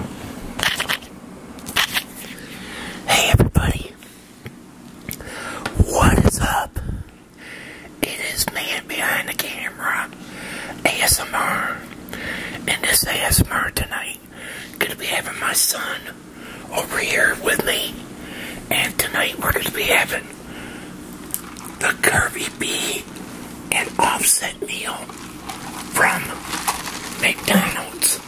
Hey everybody, what is up? It is man behind the camera, ASMR, and this ASMR tonight, gonna be having my son over here with me, and tonight we're gonna be having the curvy B and Offset meal from McDonald's.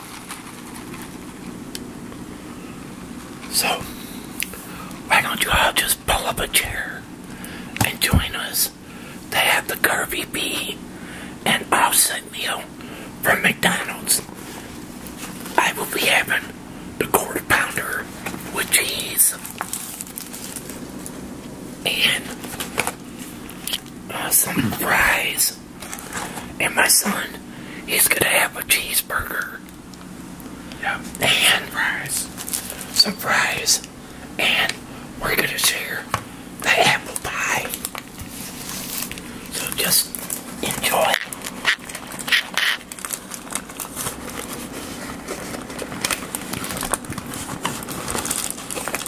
So, why don't you all just pull up a chair and join us They have the Curvy Bee and offset meal from McDonald's? I will be having the quarter pounder with cheese uh, some fries. And my son, he's gonna have a cheeseburger. And fries. Some fries. And we're gonna share the apple pie. So just enjoy.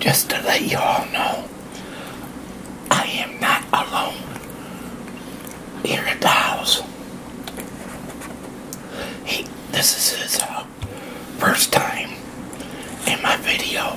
Just to let you all know, I am not alone here at the house. this is his uh, first time in my video.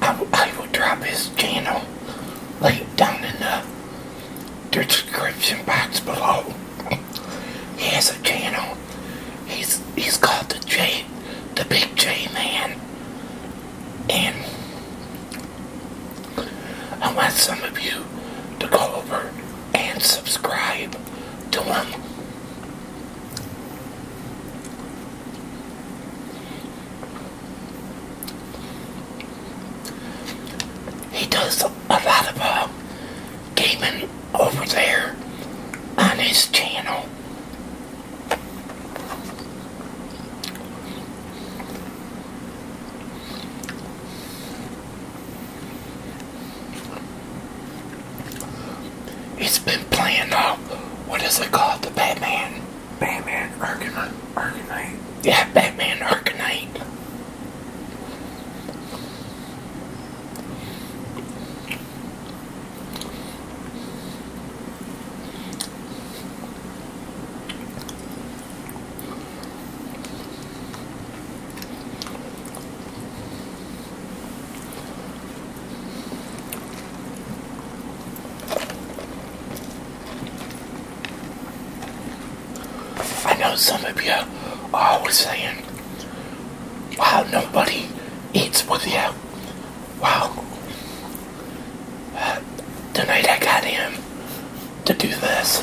I, will drop his channel like down in the description box below. he has a channel. He's he's called the J, the Big J Man, and I want some of you to go over and subscribe to him. He does a lot of uh, gaming over there on his channel. He's been playing, uh, what is it called, the Batman? Batman Arcanite. Arcanite. Yeah, Batman Arcanite. I know some of you are always saying, wow, nobody eats with you. Wow. Uh, tonight I got him to do this.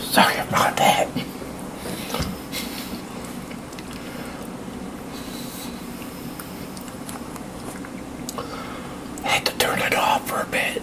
Sorry about that. Had to turn it off for a bit.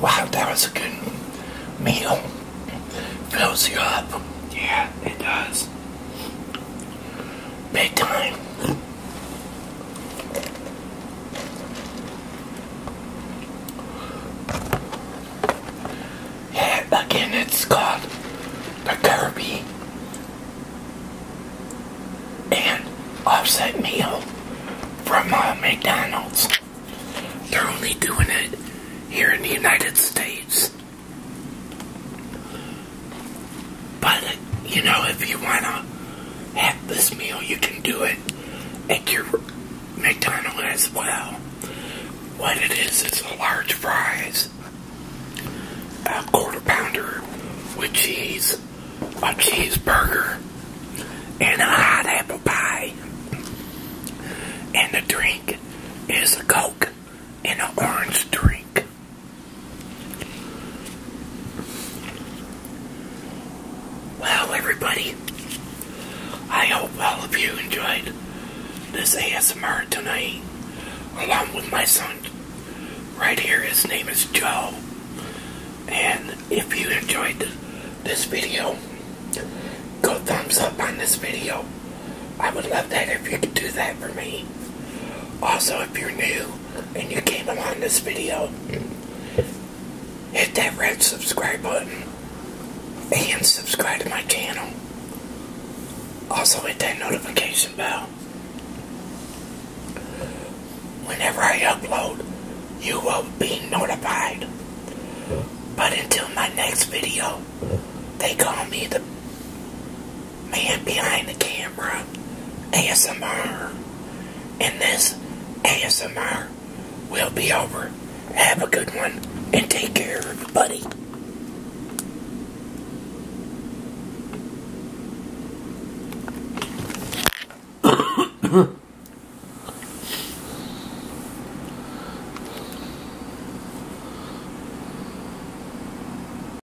Wow, that was a good meal. Fills you up. Yeah, it does. Big time again, it's called the Kirby and offset meal from uh, McDonald's. They're only doing it here in the United States. But, you know, if you want to have this meal, you can do it at your McDonald's as well. What it is, is a large fries, a quarter pounder with cheese, a cheeseburger, and a hot apple pie. And the drink is a Coke and an orange drink. Well, everybody, I hope all of you enjoyed this ASMR tonight, along with my son right here. His name is Joe. And if you enjoyed this video, go thumbs up on this video. I would love that if you could do that for me. Also, if you're new, and you came along this video, hit that red subscribe button and subscribe to my channel. Also hit that notification bell. Whenever I upload, you will be notified. But until my next video, they call me the man behind the camera ASMR. And this ASMR will be over. Have a good one and take care, everybody.